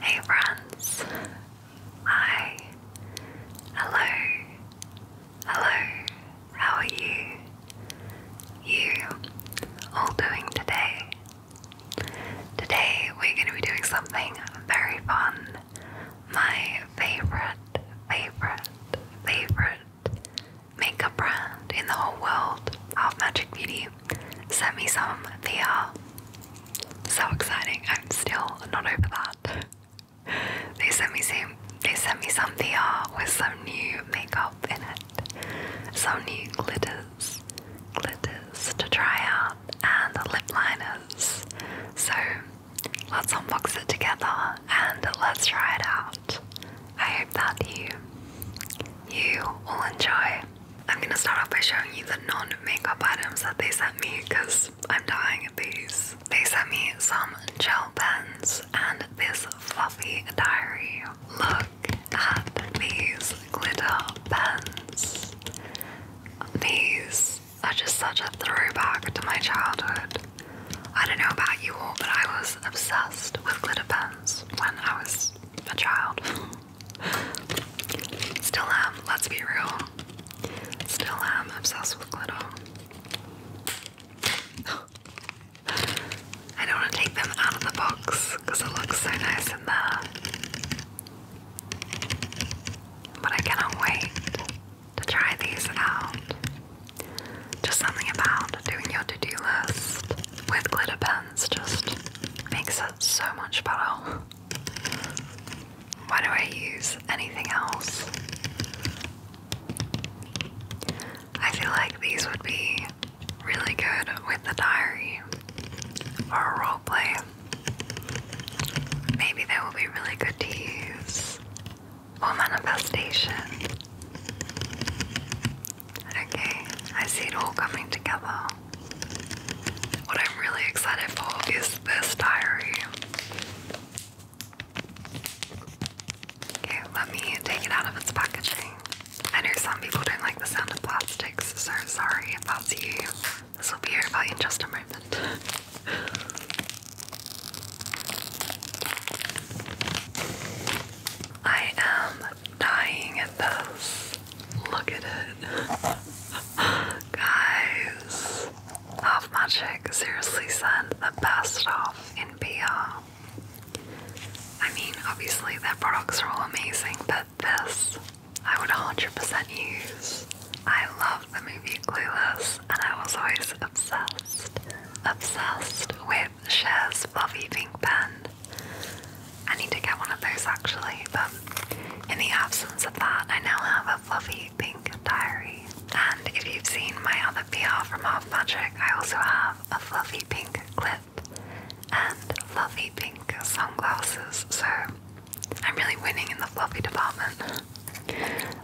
Hey friends! Hi! Hello! Hello! How are you? You all doing today? Today we're going to be doing something very fun. My favorite, favorite, favorite makeup brand in the whole world, of Magic Beauty, sent me some VR so exciting. I'm still not over that. They sent me some they sent me some VR with some new makeup in it. Some new glitters. Glitters to try out and lip liners. So let's unbox it together and let's try it out. I hope that you you will enjoy. I'm gonna start off by showing you the non-makeup items that they sent me because I'm dying of these. They sent me some gel pens and this fluffy diary. Look at these glitter pens. These are just such a throwback to my childhood. I don't know about you all, but I was obsessed with glitter pens when I was a child. Still am, let's be real. Still am obsessed with glitter. I don't want to take them out of the box because it looks so nice in there. But I cannot wait to try these out. Just something about doing your to do list with glitter pens just makes it so much better. Why do I use anything else? I feel like these would be really good with the diary or roleplay. Maybe they will be really good to use for manifestation. Okay, I see it all coming together. What I'm really excited for is this diary. Okay, let me take it out of its packaging. I know some people don't like the sound of plastics, so sorry if you. This will be over in just I am dying at this. Look at it. Guys, Half Magic seriously sent the best off in PR. I mean, obviously their products are all amazing, but this I would 100% use. I love the movie Clueless, and I was always obsessed, obsessed with Cher's fluffy pink pen. I need to get one of those actually, but in the absence of that, I now have a fluffy pink diary. And if you've seen my other PR from Off Magic, I also have a fluffy pink clip and fluffy pink sunglasses, so I'm really winning in the fluffy department.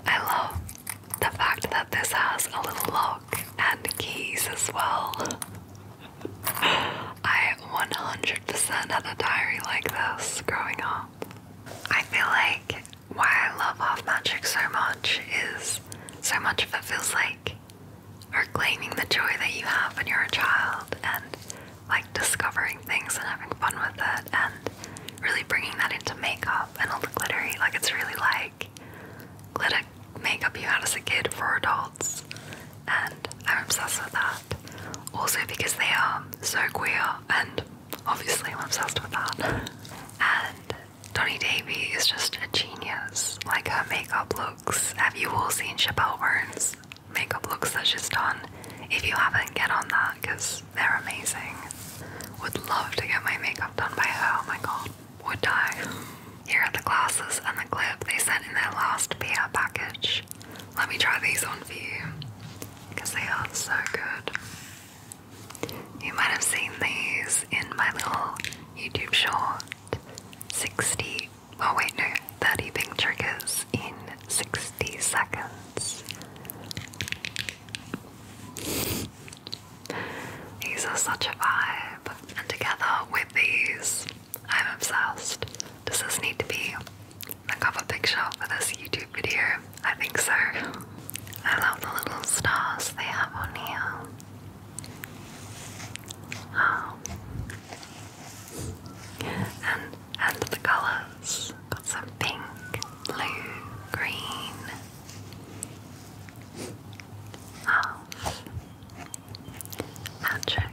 I love the fact that this has a little lock and keys as well. I 100% had a diary like this growing up. I feel like why I love Half Magic so much is so much of it feels like reclaiming the joy that you have when you're a child and like discovering things and having fun with it and really bringing that into makeup and all the glittery. Like it's really like glitter makeup you had as a kid for adults and I'm obsessed with that. Also because they are so queer and obviously I'm obsessed with that. and Tony Davy is just a genius. Like her makeup looks. Have you all seen Chappelle Roan's makeup looks that she's done? If you haven't, get on that because they're amazing. Would love to get my makeup done by her. Oh my god, would die. Here are the glasses and the clip they sent in their last PR package. Let me try these on for you because they are so good. You might have seen these in my little YouTube short 60. Oh, wait, no, 30 pink triggers in 60 seconds. These are such a vibe, and together with these, I'm obsessed. Does this need to be a cover picture for this YouTube video? I think so. I love the little stars they have on here. Oh. And and the colours. Got some pink, blue, green. Oh. Um, Magic.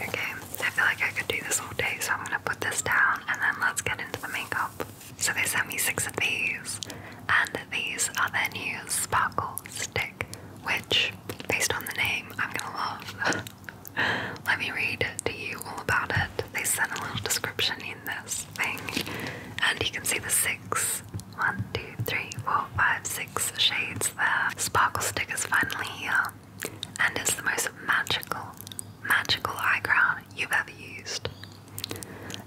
Okay, I feel like I could do this all day, so I'm gonna put this down and then let's get into the makeup. So they sent me six of these, and these are their new Sparkle Stick, which, based on the name, I'm gonna love. Let me read to you all about it. They sent a little description in this thing, and you can see the six one, two, three, four, five, six shades there. Sparkle Stick is finally here, and it's the most magical, magical eye crown you've ever used.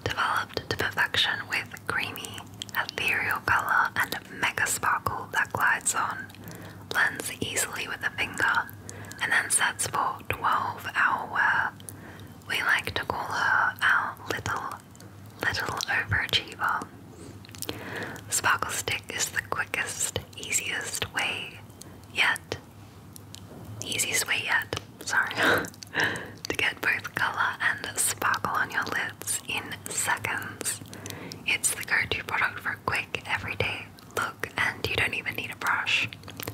Developed to perfection with creamy, ethereal color and mega sparkle that glides on, blends easily with the finger, and then sets for 12 hour wear. We like to call her our little, little overachiever. Sparkle Stick is the quickest, easiest way yet, easiest way yet, sorry, to get both colour and sparkle on your lids in seconds. It's the go to product for quick, everyday look, and you don't even need a brush,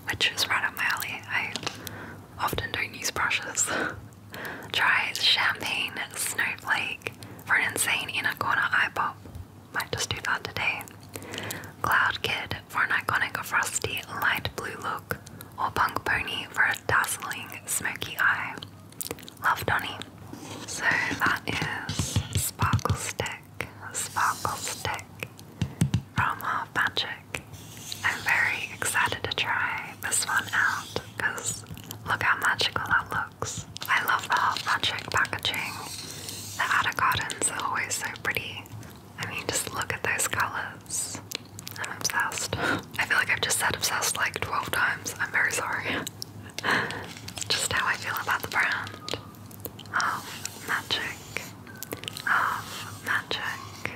which is right up my alley. I often don't use brushes. Try Champagne Snowflake for an insane inner corner eye pop. Might just do that today. Cloud Kid for an iconic frosty light blue look, or Punk Pony for a dazzling smoky eye. Love Donny. So that is Sparkle Stick sparkle stick from Half Magic. I'm very excited to try this one out because look how magical that looks. I love the Half Magic packaging. The gardens are always so pretty. I mean, just look at those colours. I'm obsessed. I feel like I've just said obsessed like 12 times. I'm very sorry. Just how I feel about the brand of magic, of magic.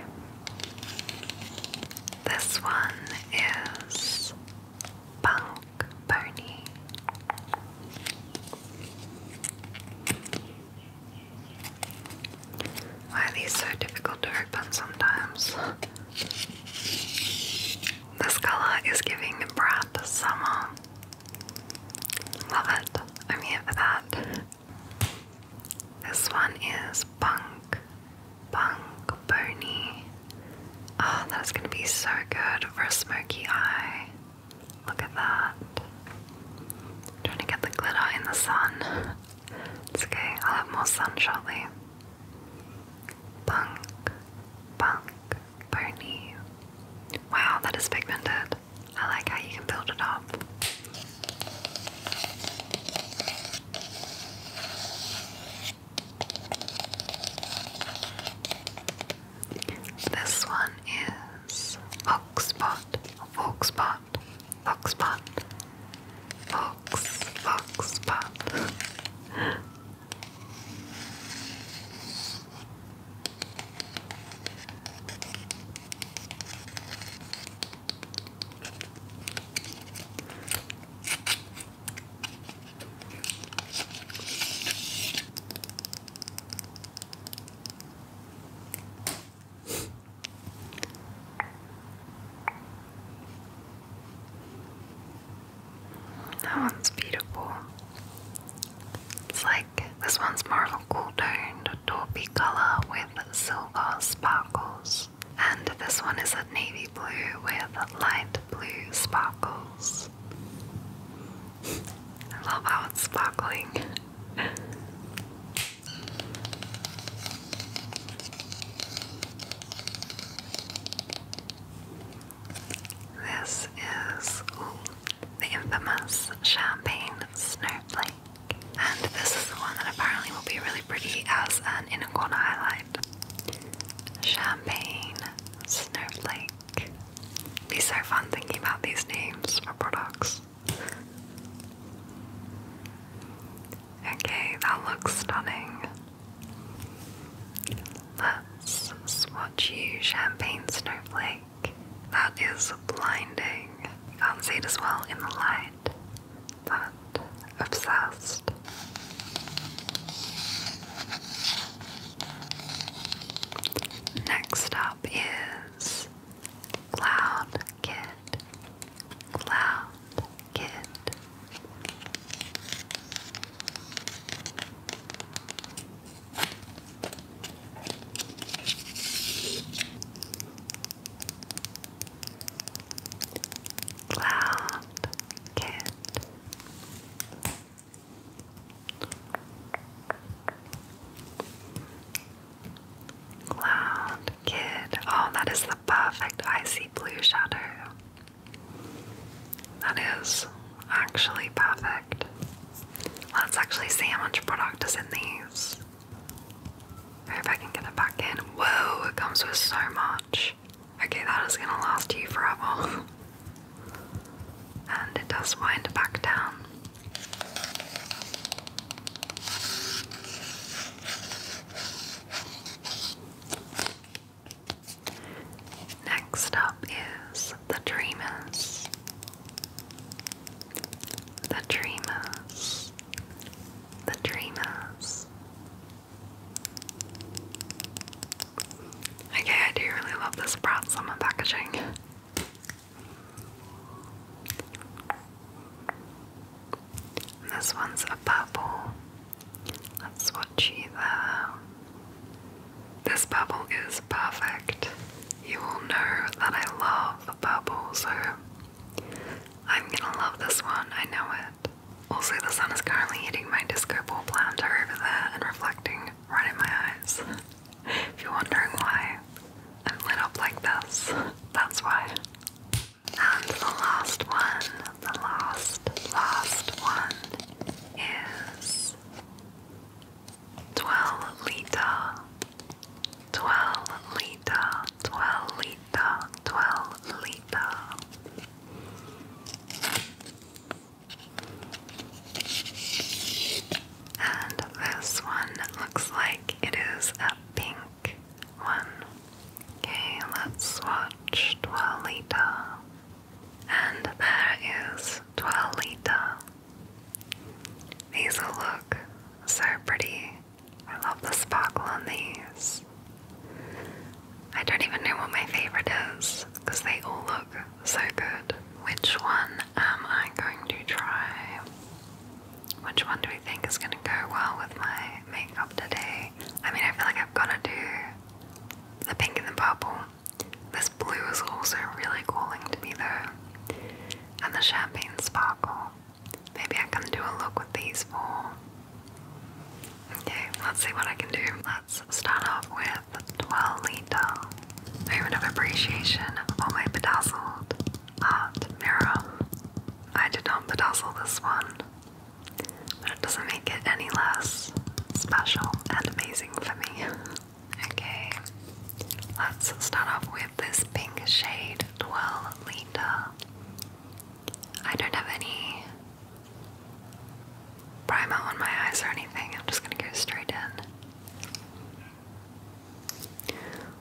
This one is Punk Pony. Why are these so difficult to open sometimes? This color is giving the Brat Summer. Love it. I'm here for that. This one is Punk. Punk Boney. Oh, that's gonna be so good for a smoky eye. Look at that. trying to get the glitter in the sun. It's okay, I'll have more sun shortly. Punk, punk, pony. Wow, that is pigmented. I like how you can build it up. This one is Foxbot, Foxbot, Foxbot, Fox, Foxbot. That one's beautiful. It's like this one's more of a cool toned taupey color with silver sparkles, and this one is a navy blue with light blue sparkles. I love how it's sparkling. This is the infamous champagne snowflake. And this is the one that apparently will be really pretty as an inner corner highlight. Champagne snowflake. It'd be so fun thinking about these names for products. Okay, that looks stunning. Let's swatch you champagne snowflake that is blinding. You can't see it as well in the light, but obsessed. Next up is Cloud Kid. Cloud Kid. Cloud Cat Cloud Kid. Oh, that is the perfect icy blue shadow. That is actually perfect. Let's actually see how much product is in these. I hope I can get it back in. Whoa, it comes with so much. Okay, that is gonna last you forever. and it does wind back down. Next up is the Dreamers. The Dreamers. The Dreamers. Okay, I do really love this Brat Summer packaging. this one's a purple. Let's swatch you This purple is perfect. You will know that I love purple, so I'm gonna love this one, I know it. Also, the sun is currently hitting my disco ball planter over there and reflecting right in my eyes. if you're wondering why I'm lit up like this, that's why. And the last one, the last, last one is twelve liter, twelve liter, twelve liter, twelve liter. And this one looks like it is a pink one. Okay, let's watch 12 liter and there is Twilita. These look so pretty. I love the sparkle on these. I don't even know what my favorite is because they all look so good. Which one am I going to try? Which one do we think is going to go well with my makeup today? I mean, I feel like i am going to do the pink and the purple this blue is also really calling to me though. And the champagne sparkle. Maybe I can do a look with these four. Okay, let's see what I can do. Let's start off with 12 litre. Moment of appreciation for my bedazzled art mirror. I did not bedazzle this one, but it doesn't mean make it any less special and amazing for me. okay, let's start off with this pink shade, Twirl Linda. I don't have any primer on my eyes or anything, I'm just gonna go straight in.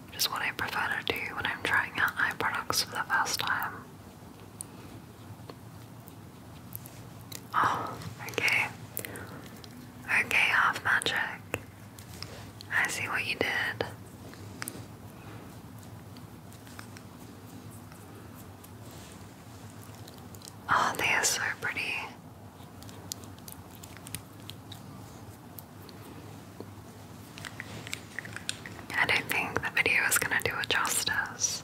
Which is what I prefer to do when I'm trying out eye products for the first time. Oh, okay. Okay, half magic. I see what you did. Oh, they are so pretty. I don't think the video is going to do it justice.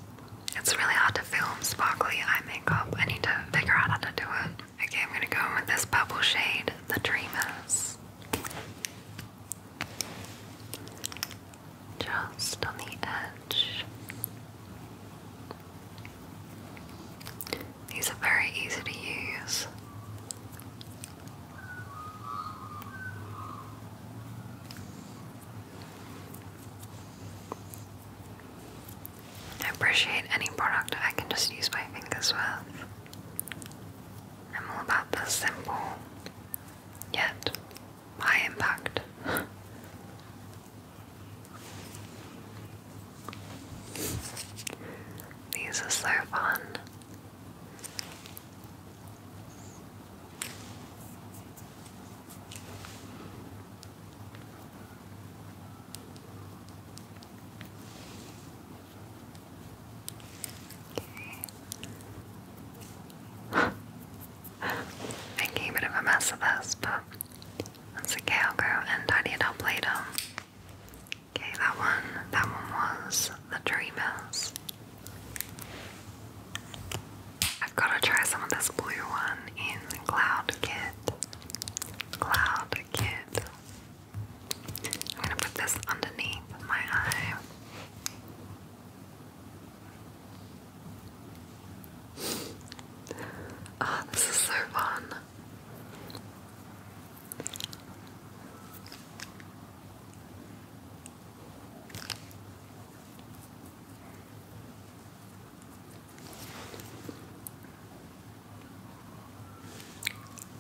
It's really hard to film sparkly eye makeup. I need to figure out how to do it. Okay, I'm gonna go in with this purple shade, the Dreamers. Just on the edge. These are very easy to use. I appreciate any product I can just use my fingers with. I'm all about the simple yet high impact. These are so fun. Okay. Making a bit of a mess of this, but that's okay. I'll go and tidy it up later. Okay, that one, that one was the dreamers. I've got to try some of this blue one in Cloud Kit. Cloud Kit. I'm going to put this underneath my eye. Oh, this is so fun.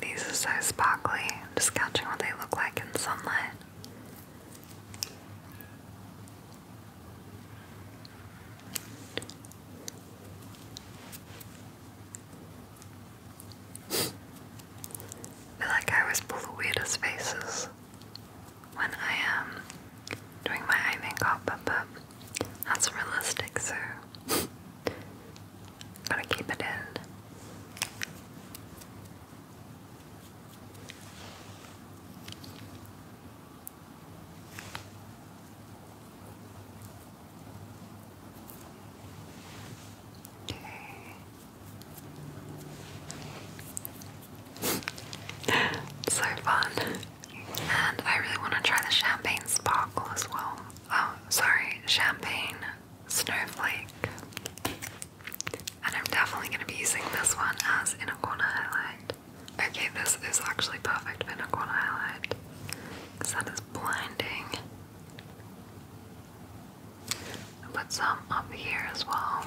These are so sparkly. just catching what they look like in sunlight. feel like I always pull the weirdest faces when I am um, doing my eye makeup, but that's realistic, so gotta keep it in. Okay. so fun. And I really want to try the champagne sparkle as well. Oh, sorry, champagne snowflake. And I'm definitely going to be using this one as inner corner highlight. Okay, this is actually perfect for inner corner highlight because that is blinding. I'll put some up here as well.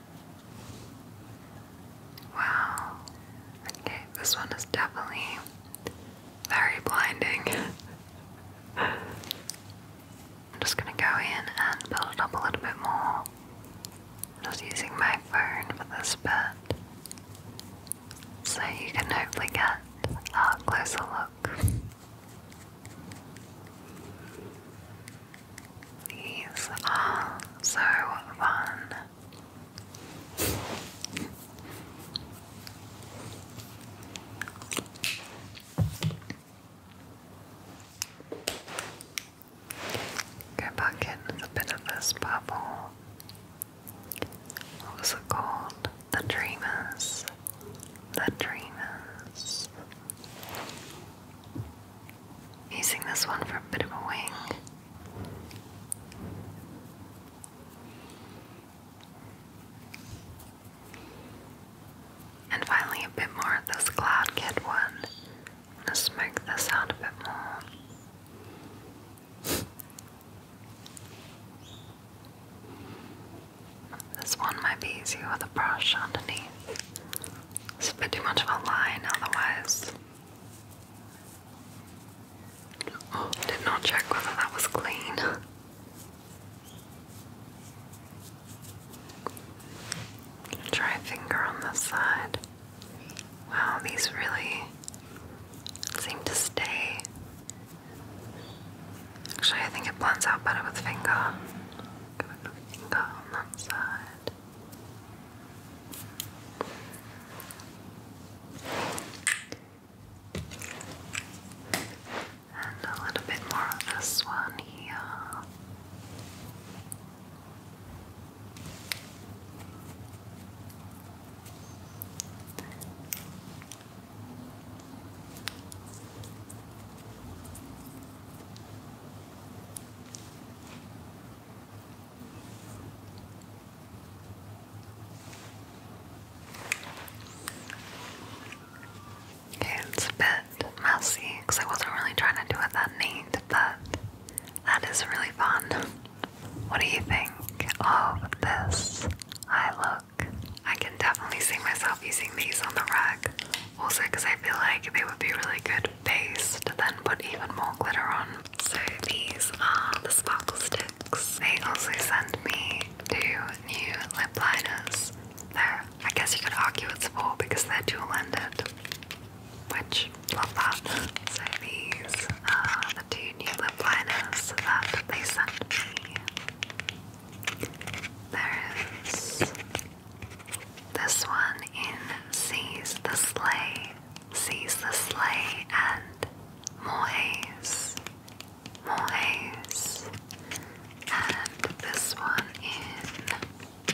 Wow. Okay, this one is definitely very blinding. I'm just gonna go in and build it up a little bit more. I'm just using my phone for this but So you can hopefully get a closer look. These are so fun. Go back in a bit of this bubble. What was it called? The Dreamers. The Dreamers using this one for a bit of a wing. And finally, a bit more of this Cloud Kid one. I'm gonna a bit more. This one might be easier with a brush underneath. It's a bit too much of a line otherwise. Oh, did not check whether that was clean. Try finger on this side. Wow, these really seem to stay. Actually, I think it blends out better with finger. Go finger on that side. And a little bit more of this one here it's a bit messy because I wasn't really trying to do it that neat, but that is really fun. What do you think of this eye look? I can definitely see myself using these on the rug. Also, because I feel like they would be really good base to then put even more glitter on. So these are the sparkle sticks. They also sent me two new lip liners. There, I guess you could argue it's four because they're dual-ended, which, blah blah. So these are the two new lip liners that they sent me. There is this one in sees the Sleigh, sees the Sleigh, and More Haze, And this one in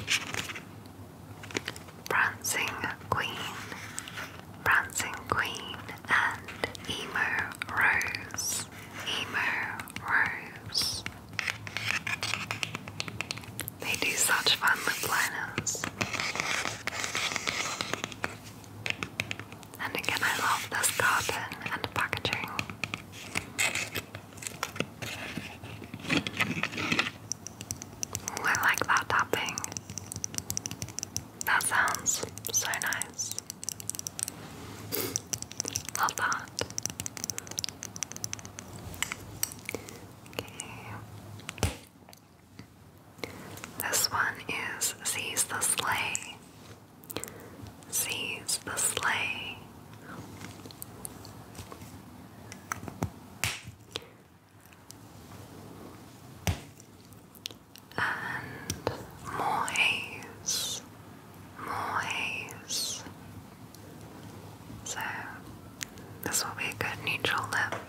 Prancing Queen, Prancing Queen, and Emo Rose, Emo Rose. They do such fun lip liners. And again, I love this carton and packaging. I like that tapping. That sounds so nice. Love that. This one is Seize the Sleigh. Seize the Sleigh. And more haze more haze. So, this will be a good neutral lip.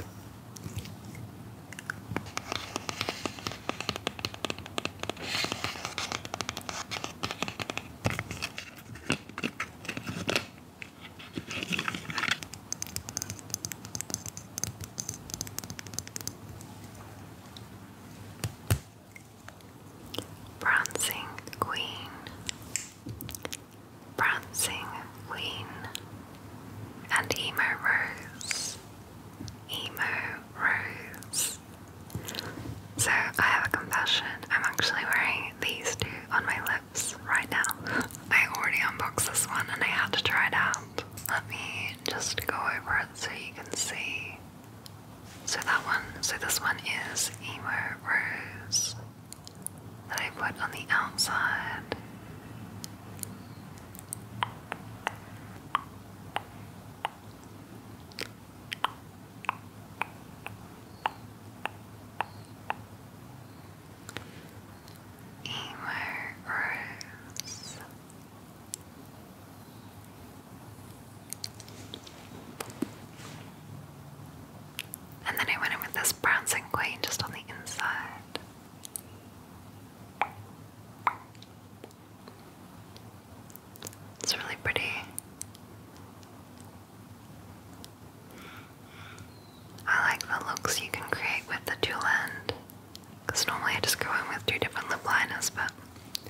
Prancing Queen, Prancing Queen, and Emo Rose, Emo Rose. So I have a confession, I'm actually wearing these two on my lips right now. I already unboxed this one and I had to try it out. Let me just go over it so you can see. So that one, so this one is Emo Rose that I put on the outside. Emo Rose. And then I went in with this and queen just on the inside. It's really pretty. I like the looks you can create with the dual end. Because normally I just go in with two different lip liners, but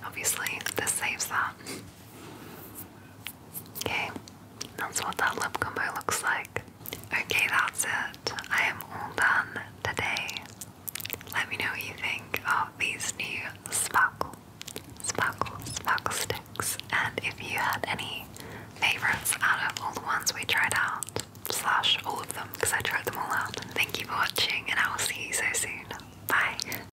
obviously this saves that. Okay, that's what that lip combo looks like. Okay, that's it. I am all done today. Let me know what you think of these new sparkle, sparkle, sparkle sticks, and if you had any favorites out of all the ones we tried out, slash all of them, because I tried them all out. Thank you for watching, and I will see you so soon. Bye.